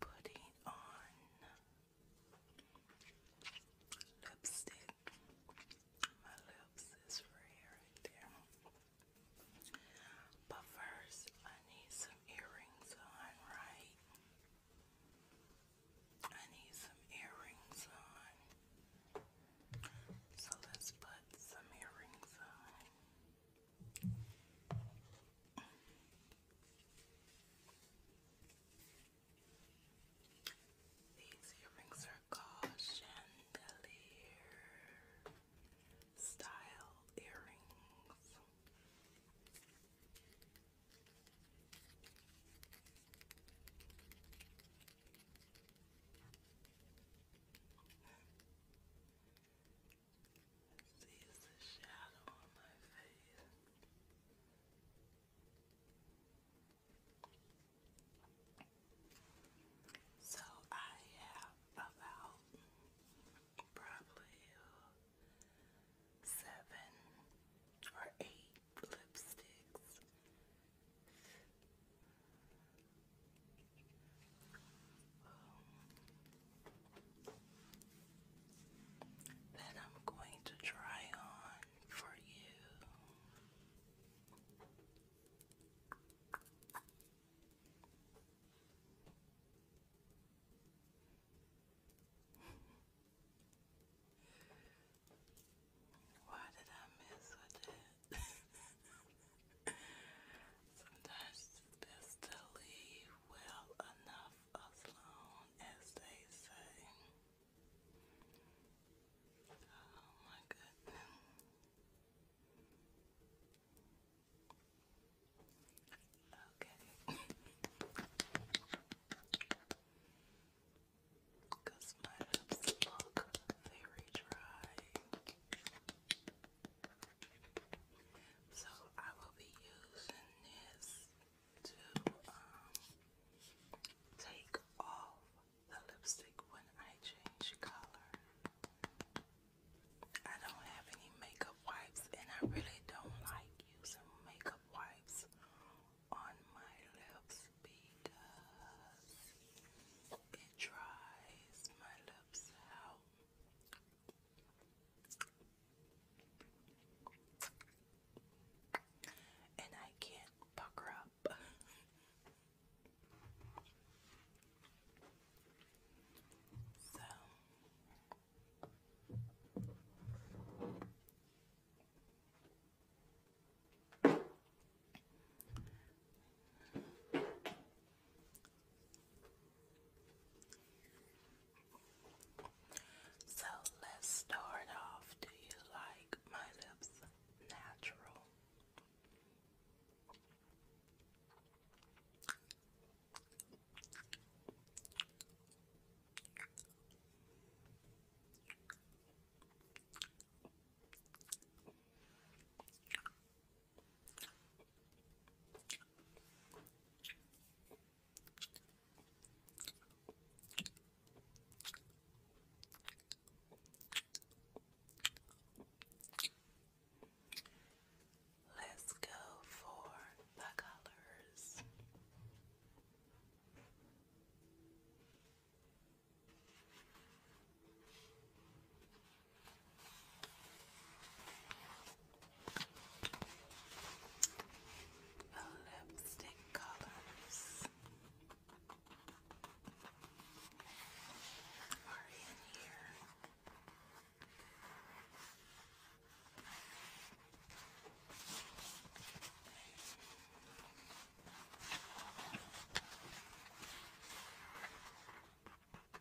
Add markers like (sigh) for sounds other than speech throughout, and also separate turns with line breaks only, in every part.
putting on lipstick. My lips is free right there. But first, I need some earrings on, right? I need some earrings on. So let's put some earrings on. These earrings are called chandelier style earrings sees the So I have about probably seven or eight lipsticks. Um, that I'm going to try on for you. Why did I mess with that? (laughs) Sometimes it's best to leave well enough alone, as they say. Oh my goodness. Okay. Because (laughs) my very dry. So I will be using this to um, take off the lipstick when I change color. I don't have any makeup wipes and I really don't like using makeup wipes on my lips because it dries my lips out and I can't pucker up. (laughs) so so let's start off. Do you like my lips natural? Let's go for the colors. The lipstick colors are in here.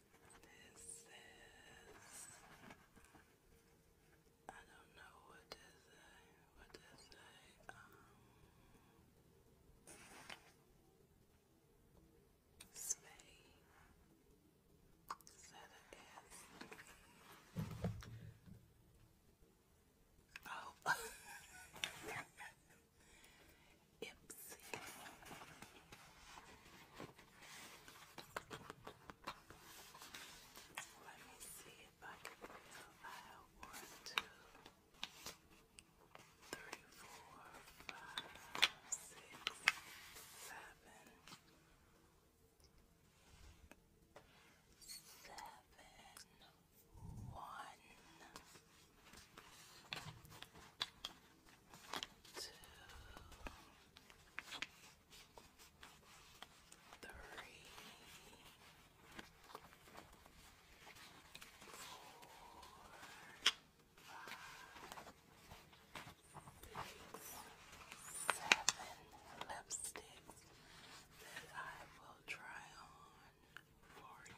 This is I don't know what to say. What Um Sway. Set (laughs) Oh Ipsy. (laughs) Let me see if I can count. one, two, three, four, five, three, four, five, six, seven lipsticks that I will try on for you.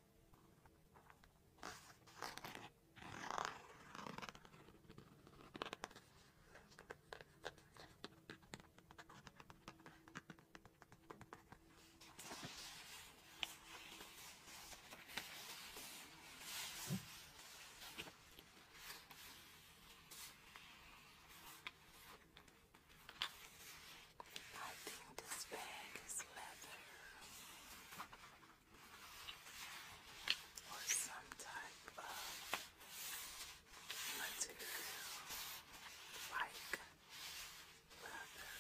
I think this bag is leather or some type of material like leather.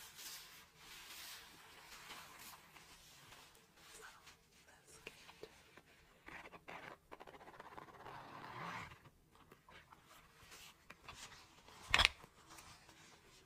So let's get it. Let's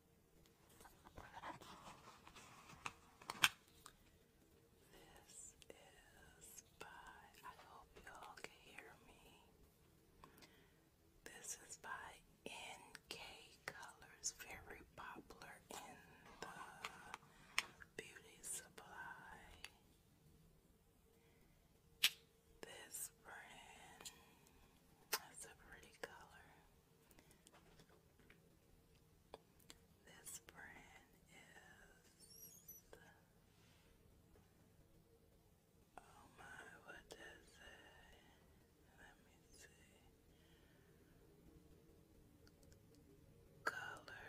This is by, I hope y'all can hear me. This is by NK Colors, very popular in the beauty supply. This brand has a pretty color. This brand is oh um, my, what does it? Let me see. Color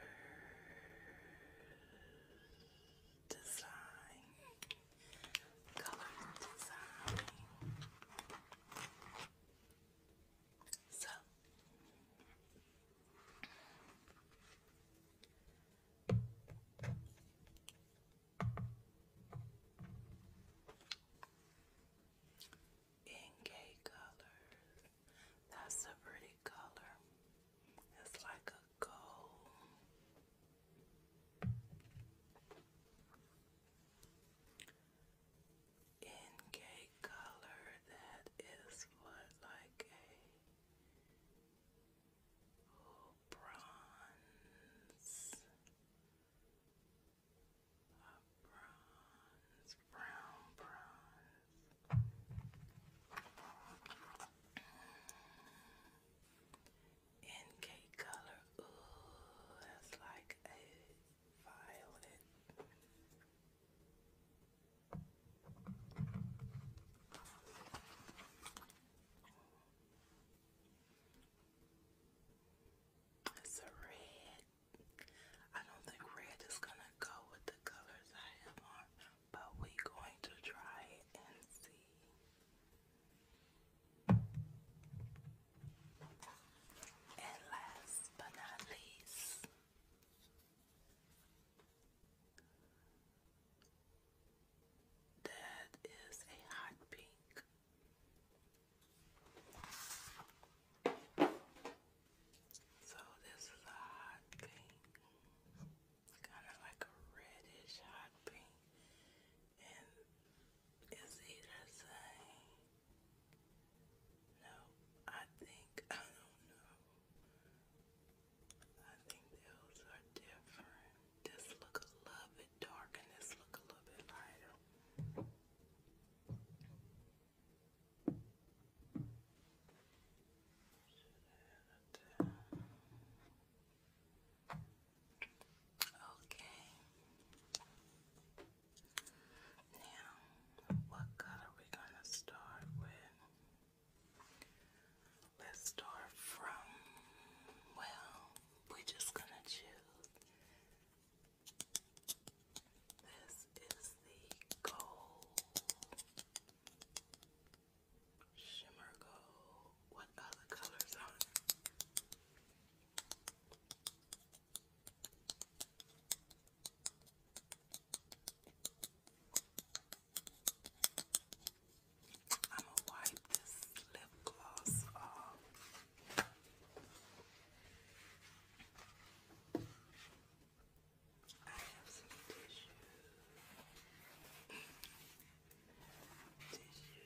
design, color design. So in gay colors, that's a pretty color. It's like a gold in gay color that is what like a bronze brown bronze in color ooh that's like a Violet. It's red. I don't think red is gonna go with the colors I have on, but we're going to try and see. And last but not least, that is a hot pink. So this is a hot pink, kind of like a reddish hot pink, and it's either no, I think (laughs) I don't know. I think those are different. This look a little bit dark and this look a little bit lighter. Okay. Now, what color are we gonna start with? Let's start from, well, we're just gonna choose. This is the gold, shimmer gold. What other colors are I'm gonna wipe this lip gloss off. I have some tissue. tissue.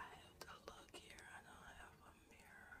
I have to look here. I don't have a mirror.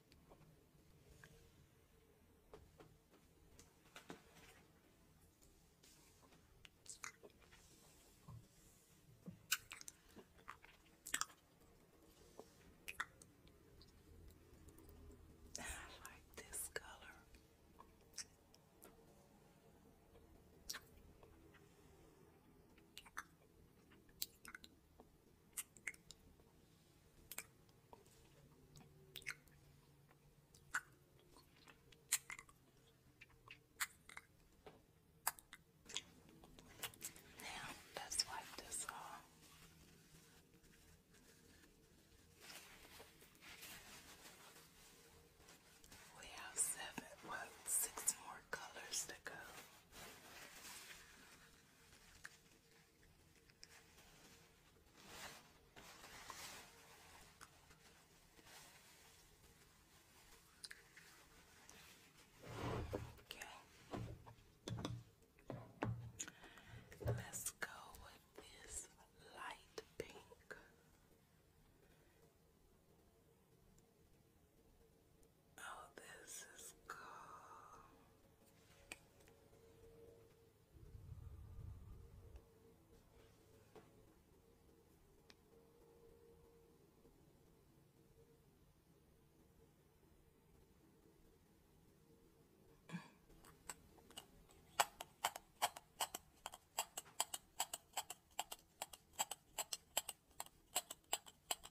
I like this color. Now let's wipe this off. We have seven, well, six more colors to go. Okay. Let's go with this light pink. Oh, this is cool.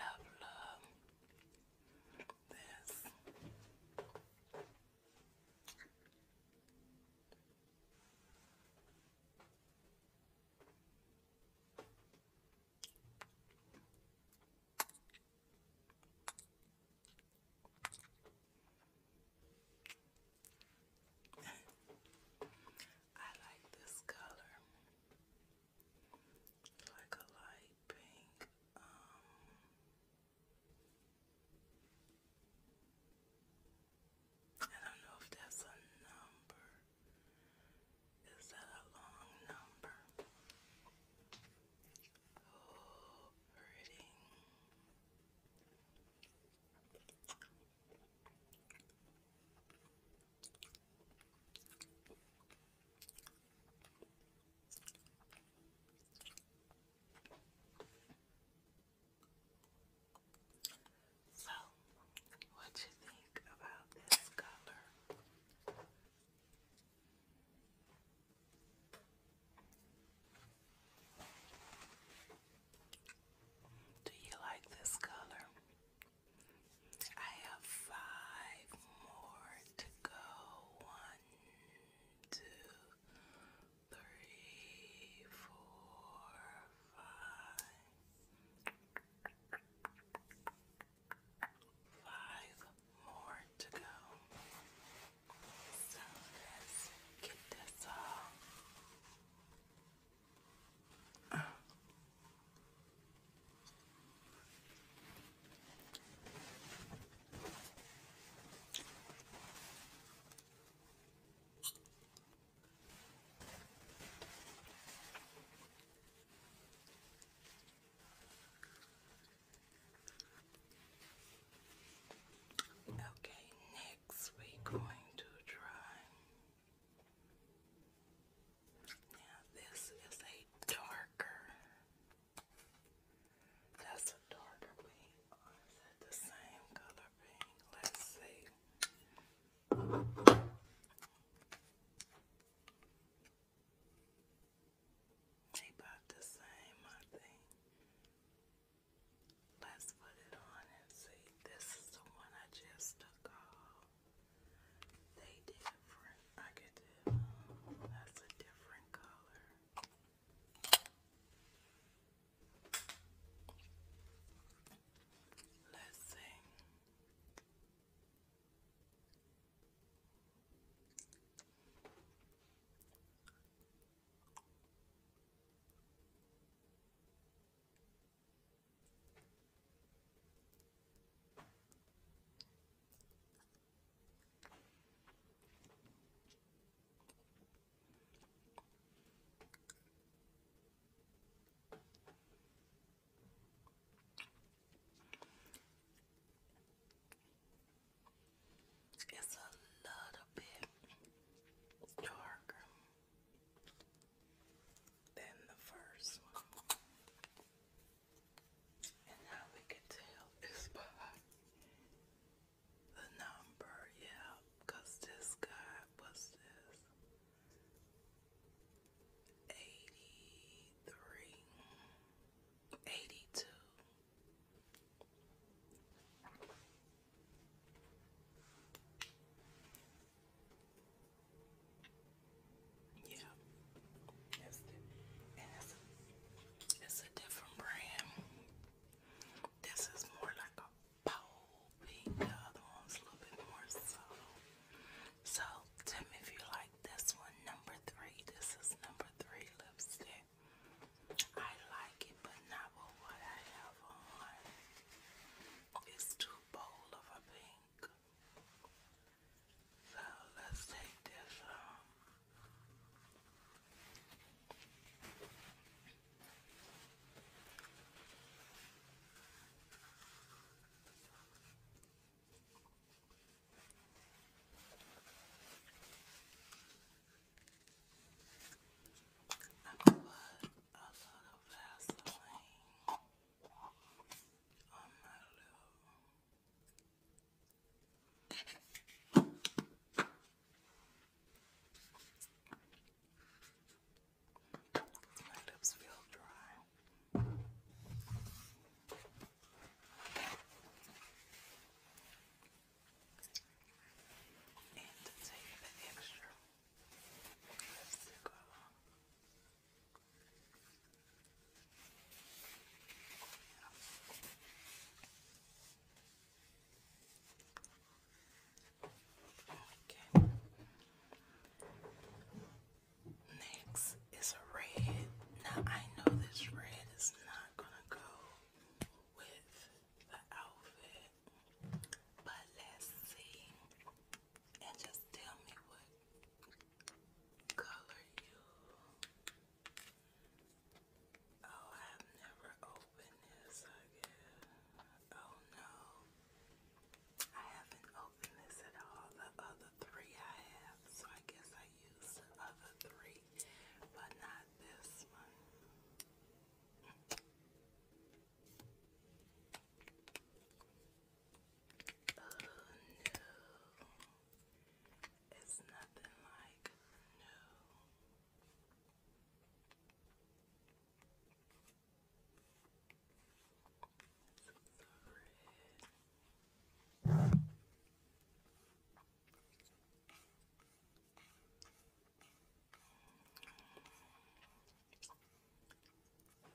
Love, love this. (laughs) I like this color like a light pink, um, I don't know if that's a number. Is that a long number? Oh, pretty. So, what you think about this color? Do you like this color? I have five more to go. One, two, three, four, five. Five more to go. So let's get this all Okay, next we're going to try now this is a darker. That's a darker pink. Oh, is it the same color pink? Let's see. about the same, I think. Let's put it on and see. This is the one I just took off. They different. I get the that's a different color. Let's see. It's a little bit darker than the first one. And how we can tell is by the number, yeah, this guy was this 83, yeah, it's, it's, a different brand. This is more like a bold pink. The other one's a little bit more subtle. So tell if you like this one, number three. This is number three lipstick. I like it, but not with what I have on. It's too bold of a pink. So let's take this I put a little Vaseline on my lips feel dry. And take the extra lipstick off, Okay. Next is red. Now I know this red is not gonna go with the outfit, but let's see and just tell me what color you. Oh, I've never opened this, I guess. Oh no, I haven't opened this at all. The other three I have, so I guess I used the other three, but not this one. Oh no, it's nothing like no.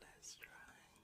Let's try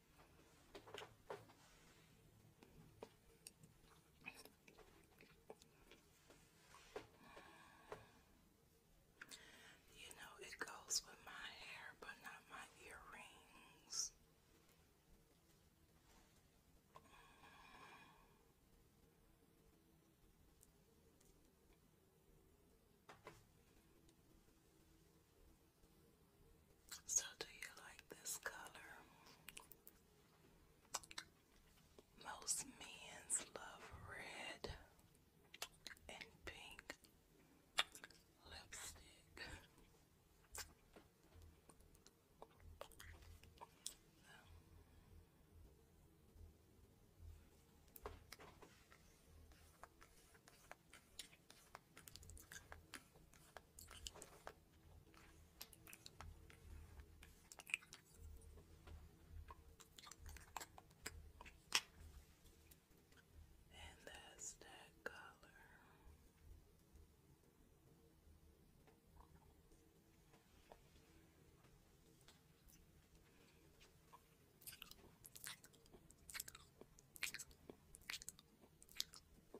You know, it goes with my hair, but not my earrings. So, do you like this color? Most men's love red and pink lipstick. And that's that color.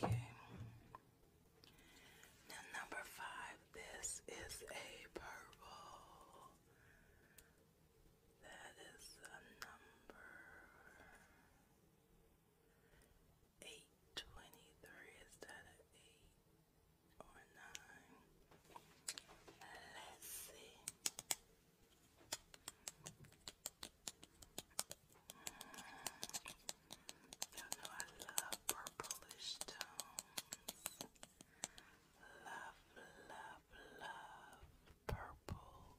Okay. Now number five, this is a purple. That is a number. 823, is that an 8 or 9? Let's see. Mm. you know I love purplish tones. Love, love, love purple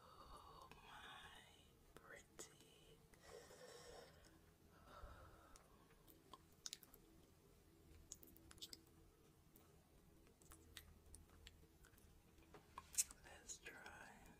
Oh, my pretty. Let's try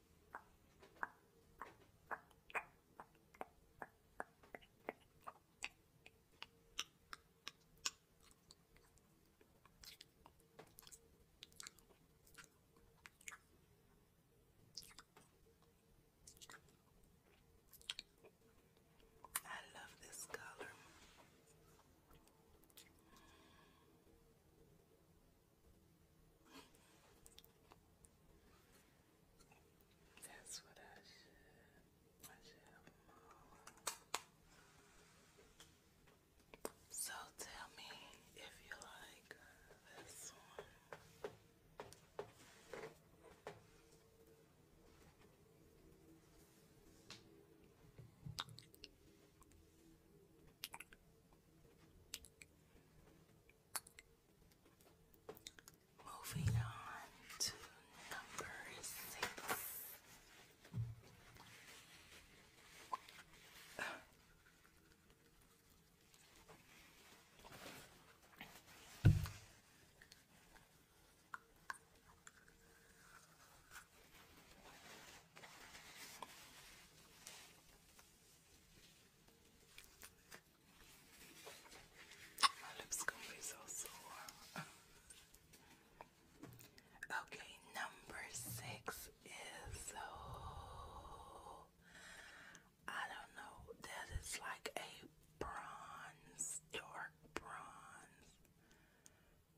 I love this color. That's what I should. I should have them um, So tell me if you like this one. Moving on to number six. My lips gonna be so sore. okay, number six is oh, I don't know. That is like a bronze, dark bronze.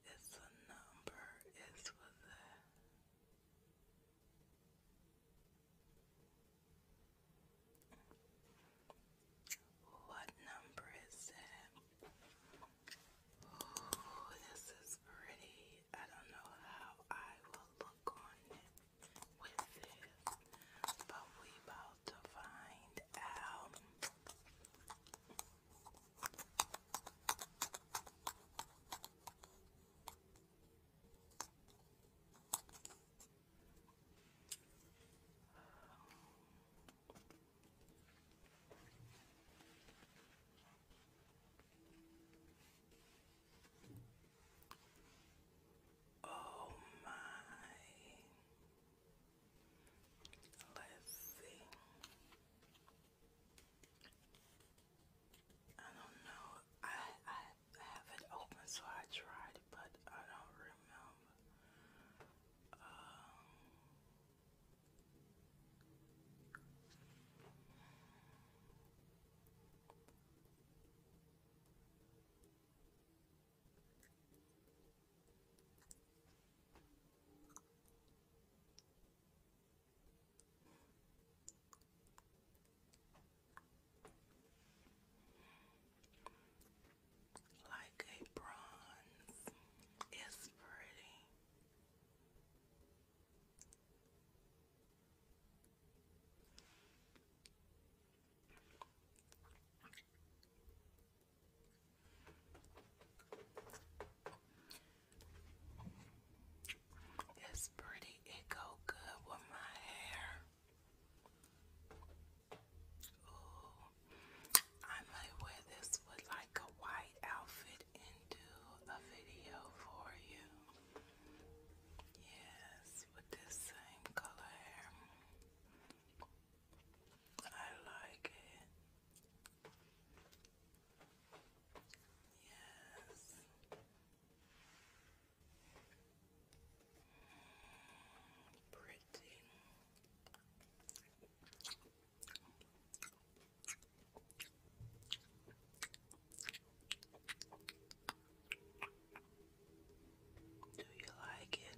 It's a number. It's with what number is it? this is pretty. I don't know how I will look on it with this, but we about to find out. Oh, my. Let's see. I don't know. I I have it open, so I tried, but I don't remember. Um, like a bronze, it's pretty. It's pretty. It go good with my hair. Ooh, I might wear this with like a white outfit and do a video for you. Yes, with this same color hair. I like it. Yes. Pretty. Do you like it?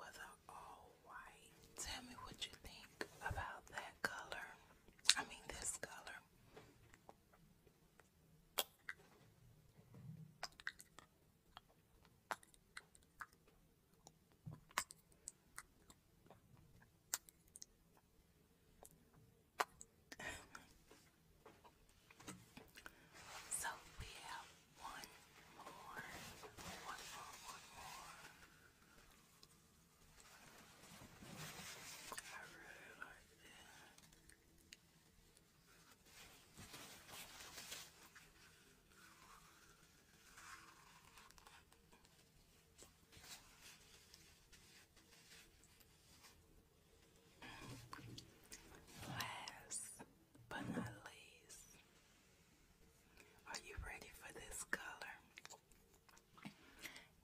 with all white. Tell me what you think about that color. I mean, this color. (laughs) so we have one more. One more, one more. I really like this. Last but not least. Are you ready for this color?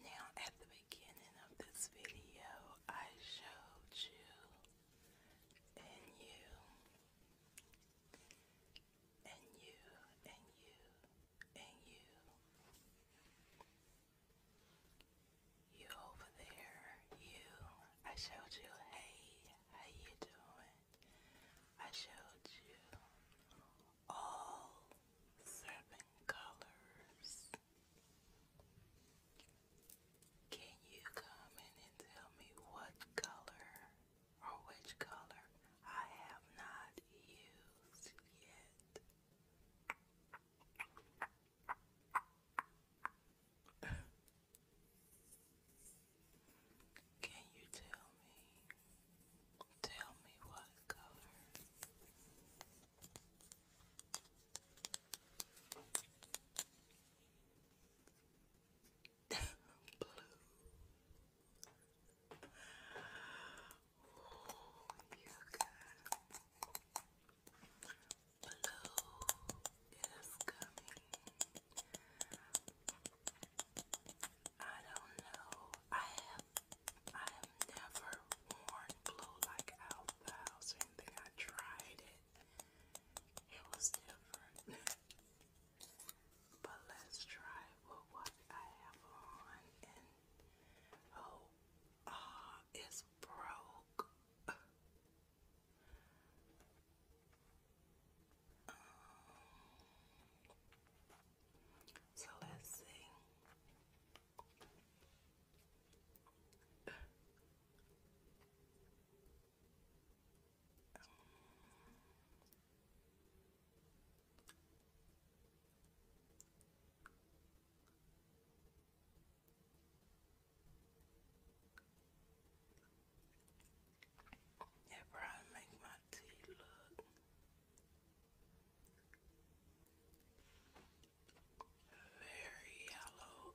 Now, at the beginning of this video, I showed you and you and you and you and you. You over there, you, I showed you, hey, how you doing? I showed you all seven colors. Can you come in and tell me what color or which color I have not used yet? Can you tell me? Tell me what color? (laughs) Blue. Oh, you got Blue is coming. I don't know. I have I have never worn blue like out loud or I tried it. It was different. but let's try with what I have on oh, oh it's broke. (laughs) Um, so let's see. That probably make my teeth look very yellow.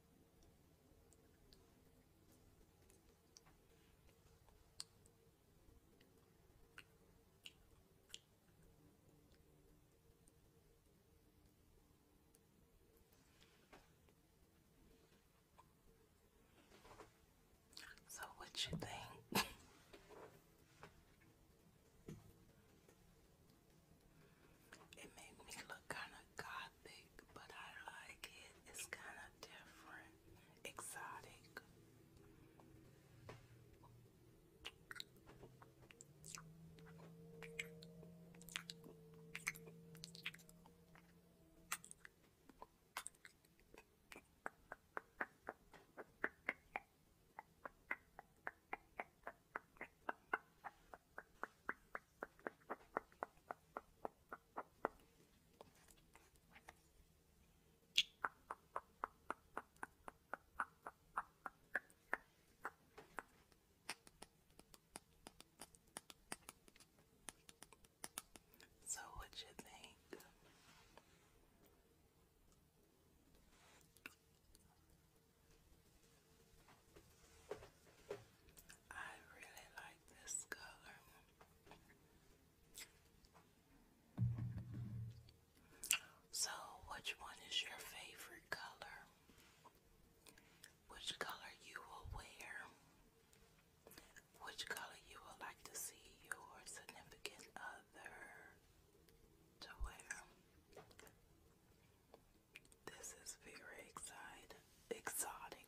So, what you think? (laughs) It makes me look kind of gothic, but I like it. It's kind of different, exotic. So, what you think? I really like this color. So, which one is your favorite color? Which color you will wear? Which color you would like to see your significant other to wear? This is very exciting. Exotic.